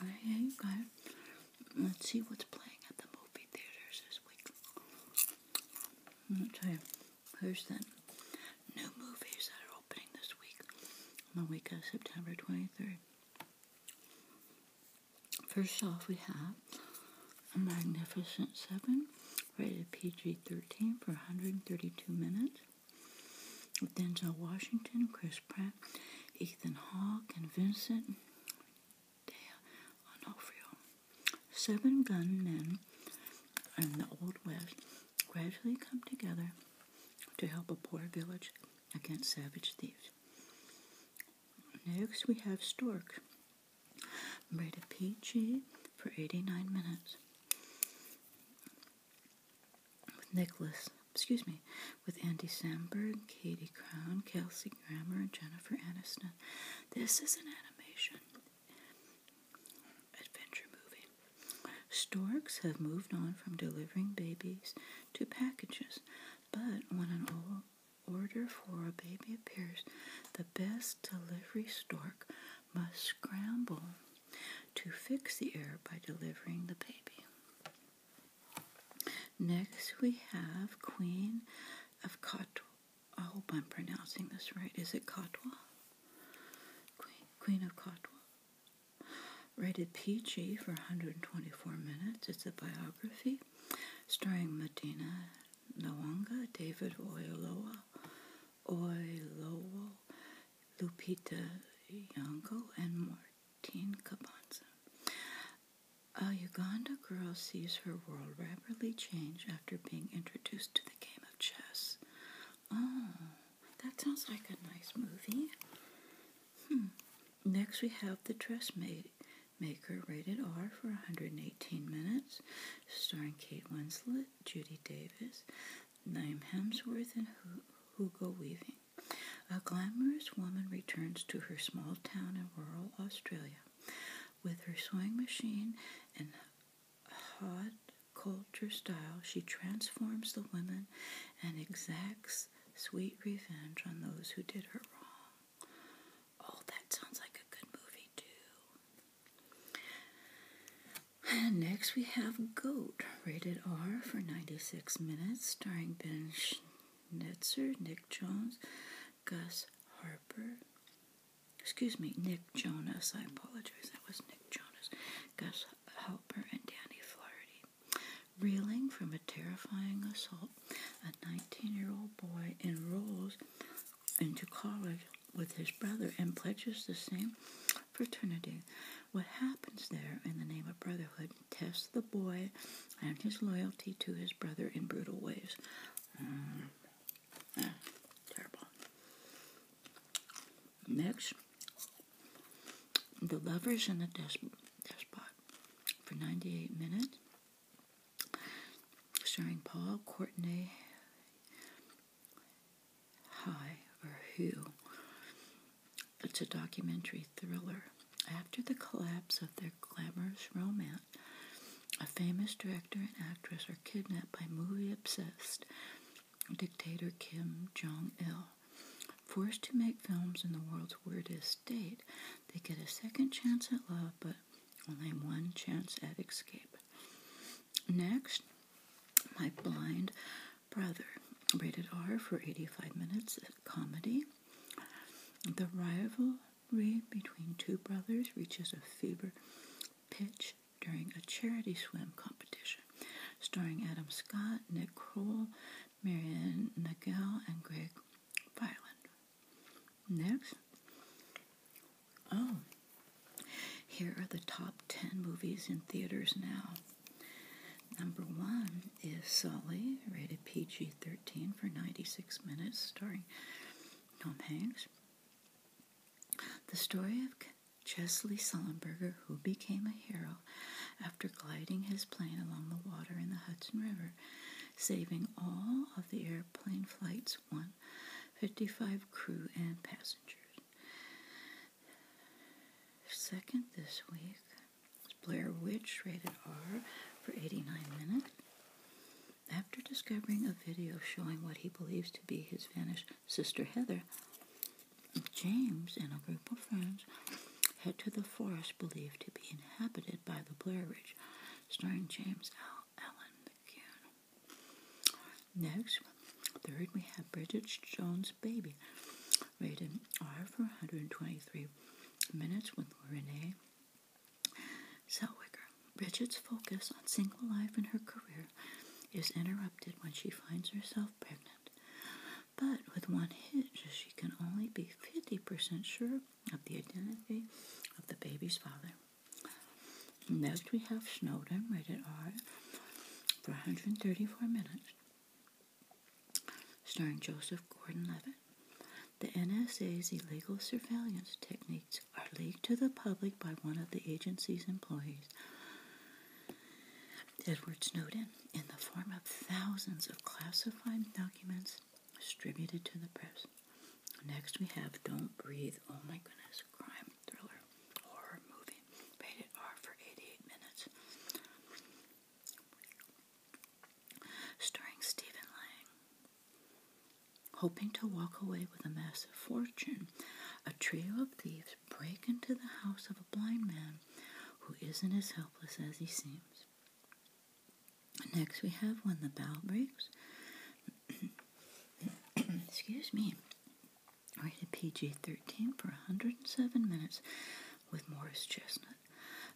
Alright, you got Let's see what's playing at the movie theaters this week. Let me tell you, here's the new movies that are opening this week, on the week of September 23rd. First off, we have A Magnificent Seven, rated PG 13 for 132 minutes with Denzel Washington, Chris Pratt, Ethan Hawke, and Vincent De Onofrio. Seven gunmen in the Old West gradually come together to help a poor village against savage thieves. Next, we have Stork, rated PG for 89 minutes with Nicholas, excuse me, with Andy Samberg, Katie Crown, Kelsey Grammer, and Jennifer Aniston. This is an animation adventure movie. Storks have moved on from delivering babies to packages, but when an order for a baby appears, the best delivery stork must scramble to fix the error by delivering the baby. Next, we have Queen of Katwa. I hope I'm pronouncing this right. Is it Katwa? Queen, of Katwa. Rated PG for 124 minutes. It's a biography starring Medina Nawanga, David Oyelowo, Oyelowo, Lupita Nyong'o, and more. Dean Caponza. A Uganda girl sees her world rapidly change after being introduced to the game of chess. Oh, that sounds like a nice movie. Hmm. Next, we have The Dressmaker, rated R for 118 minutes, starring Kate Winslet, Judy Davis, Naim Hemsworth, and Hugo Weaving. A glamorous woman returns to her small town in rural Australia with her sewing machine and hot culture style. She transforms the women and exacts sweet revenge on those who did her wrong. Oh, that sounds like a good movie, too. And next, we have Goat rated R for 96 minutes, starring Ben Schnetzer, Nick Jones, Gus Harper. Excuse me, Nick Jonas. I apologize. That was Nick Jonas, Gus Harper, and Danny Flaherty. Reeling from a terrifying assault, a 19-year-old boy enrolls into college with his brother and pledges the same fraternity. What happens there in the name of brotherhood tests the boy and his loyalty to his brother in brutal ways. Uh, uh, terrible. Next, the lovers in the despot for 98 minutes, starring Paul Courtenay, High or who. It's a documentary thriller. After the collapse of their glamorous romance, a famous director and actress are kidnapped by movie obsessed dictator Kim Jong il. Forced to make films in the world's weirdest state, they get a second chance at love, but only one chance at escape. Next, my blind Brother, rated R for 85 minutes of uh, comedy. The rivalry between two brothers reaches a fever pitch during a charity swim competition, starring Adam Scott, Nick Kroll, Marianne Nagel, and Greg Viland. Next. Oh, here are the top 10 movies in theaters now. Number one is Sully, rated PG 13 for 96 minutes, starring Tom Hanks. The story of Chesley Sullenberger, who became a hero after gliding his plane along the water in the Hudson River, saving all of the airplane flight's 155 crew and passengers. Second, this week, Blair Witch, rated R, for 89 minutes. After discovering a video showing what he believes to be his vanished sister Heather, James and a group of friends head to the forest believed to be inhabited by the Blair Witch, starring James Al Allen McCune. Next, third, we have Bridget Jones' Baby, rated R for 123 minutes with Renee Selwicker, Richards' focus on single life and her career is interrupted when she finds herself pregnant. But with one hitch, she can only be 50% sure of the identity of the baby's father. Next, we have Snowden, rated R, for 134 minutes. Starring Joseph Gordon Levitt. The NSA's illegal surveillance techniques are leaked to the public by one of the agency's employees, Edward Snowden, in the form of thousands of classified documents distributed to the press. Next, we have Don't Breathe. Oh my goodness, crime thriller, horror movie, rated R for 88 minutes starring Stephen Lang. Hoping to walk away with a massive fortune, a trio of thieves break into the house of a blind man who isn't as helpless as he seems. Next, we have When the Bell Breaks. Excuse me. Rated PG 13 for 107 minutes with Morris Chestnut.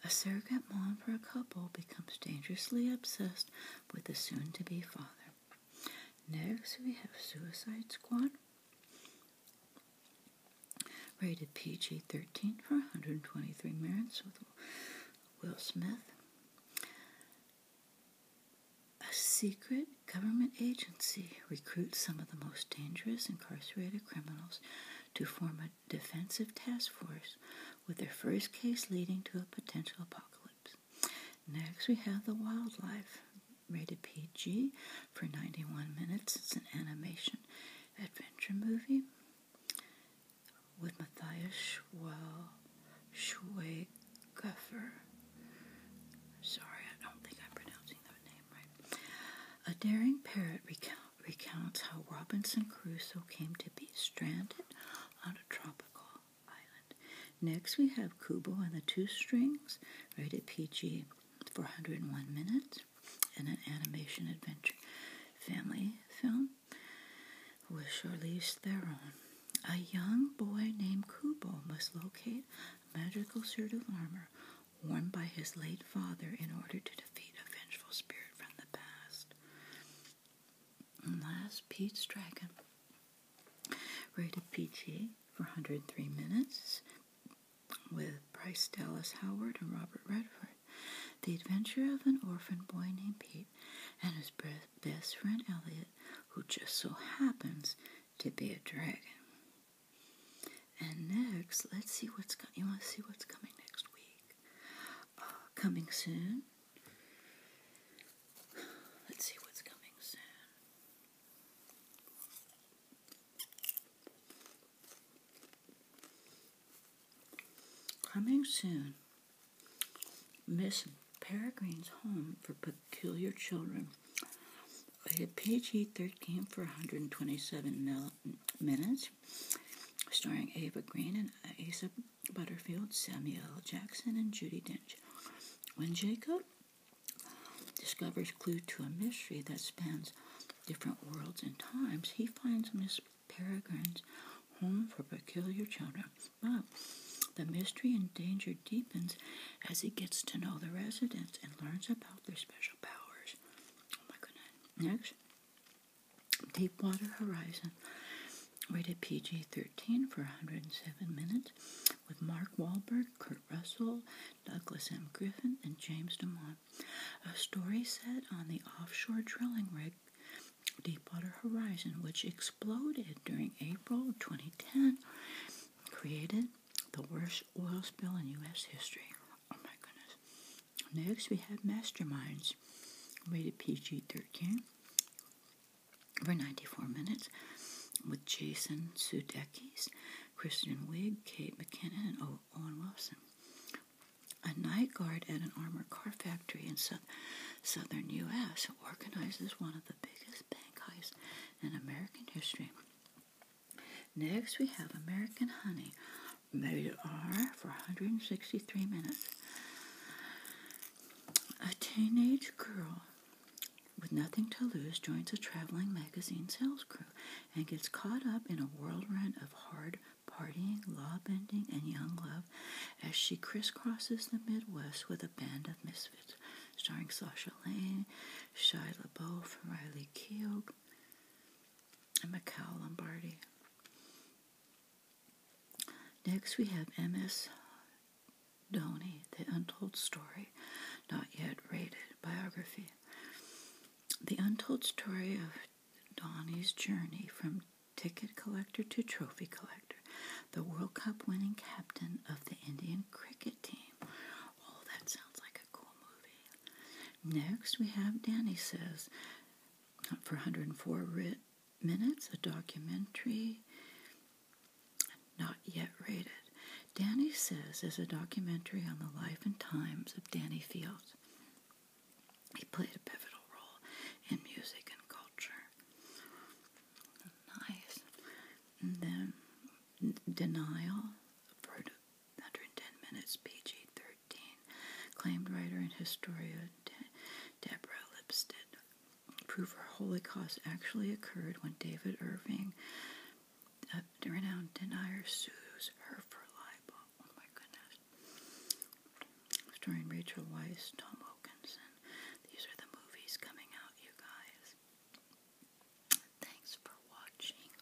A surrogate mom for a couple becomes dangerously obsessed with the soon to be father. Next, we have Suicide Squad. Rated PG 13 for 123 minutes with Will Smith. A secret government agency recruits some of the most dangerous incarcerated criminals to form Defensive Task Force, with their first case leading to a potential apocalypse. Next, we have The Wildlife, rated PG for 91 minutes. It's an animation adventure movie with Matthias Schweigaffer. Sorry, I don't think I'm pronouncing that name right. A daring parrot recounts recounts how Robinson Crusoe came to be stranded on a tropical island. Next, we have Kubo and the Two Strings, rated PG 401 minutes, and an animation adventure family film with Charlize Theron. A young boy named Kubo must locate a magical suit of armor worn by his late father in order to defeat a vengeful spirit from the past. last, Pete's Dragon. Rated PG for 103 minutes with Bryce Dallas Howard and Robert Redford. The adventure of an orphan boy named Pete and his best friend Elliot, who just so happens to be a dragon. And next, let's see what's coming. You want to see what's coming next week? Uh, coming soon. Let's see what's coming soon. Coming soon. Miss Peregrine's Home for Peculiar Children. I A page 13 for 127 minutes starring Ava Green and Asa Butterfield, Samuel L. Jackson, and Judy Dench. When Jacob discovers clue to a mystery that spans different worlds and times, he finds Miss Peregrine's home for peculiar children. But the mystery and danger deepens as he gets to know the residents and learns about their special powers. Oh my goodness. Next, Deepwater Horizon, rated PG 13 for 107 minutes, with Mark Wahlberg, Kurt Russell, Douglas M. Griffin, and James DeMont. A story set on the offshore drilling rig Deepwater Horizon, which exploded during April 2010, created the worst oil spill in U.S. history. Oh my goodness. Next, we have Masterminds, rated PG 13 for 94 minutes, with Jason Sudeikis, Christian Wiig, Kate McKinnon, and Owen Wilson. A night guard at an armored car factory in so- southern U.S. organizes one of the biggest bank heists in American history. Next, we have American Honey, they are for 163 minutes. A teenage girl with nothing to lose joins a traveling magazine sales crew and gets caught up in a whirlwind of hard partying, law bending, and young love as she crisscrosses the Midwest with a band of misfits starring Sasha Lane, Shia LaBeouf, Riley Keough, and Macau Lombardi. Next, we have M.S. Doney, The Untold Story, Not Yet Rated Biography. The untold story of Donnie's journey from ticket collector to trophy collector, the World Cup winning captain of the Indian cricket team. Oh, that sounds like a cool movie. Next, we have Danny Says, not for 104 minutes, a documentary not yet rated. Danny Says is a documentary on the life and times of Danny Fields. He played a pivotal role in music and culture. Nice. then Denial for 110 minutes, PG 13. Dean, acclaimed writer and historian De- Deborah Lipstadt, prove our Holocaust actually occurred when David Irving, a uh, renowned denier, sues her for libel. Oh my goodness. Starring Rachel Weisz, Tom Wilkinson. These are the movies coming out, you guys. Thanks for watching.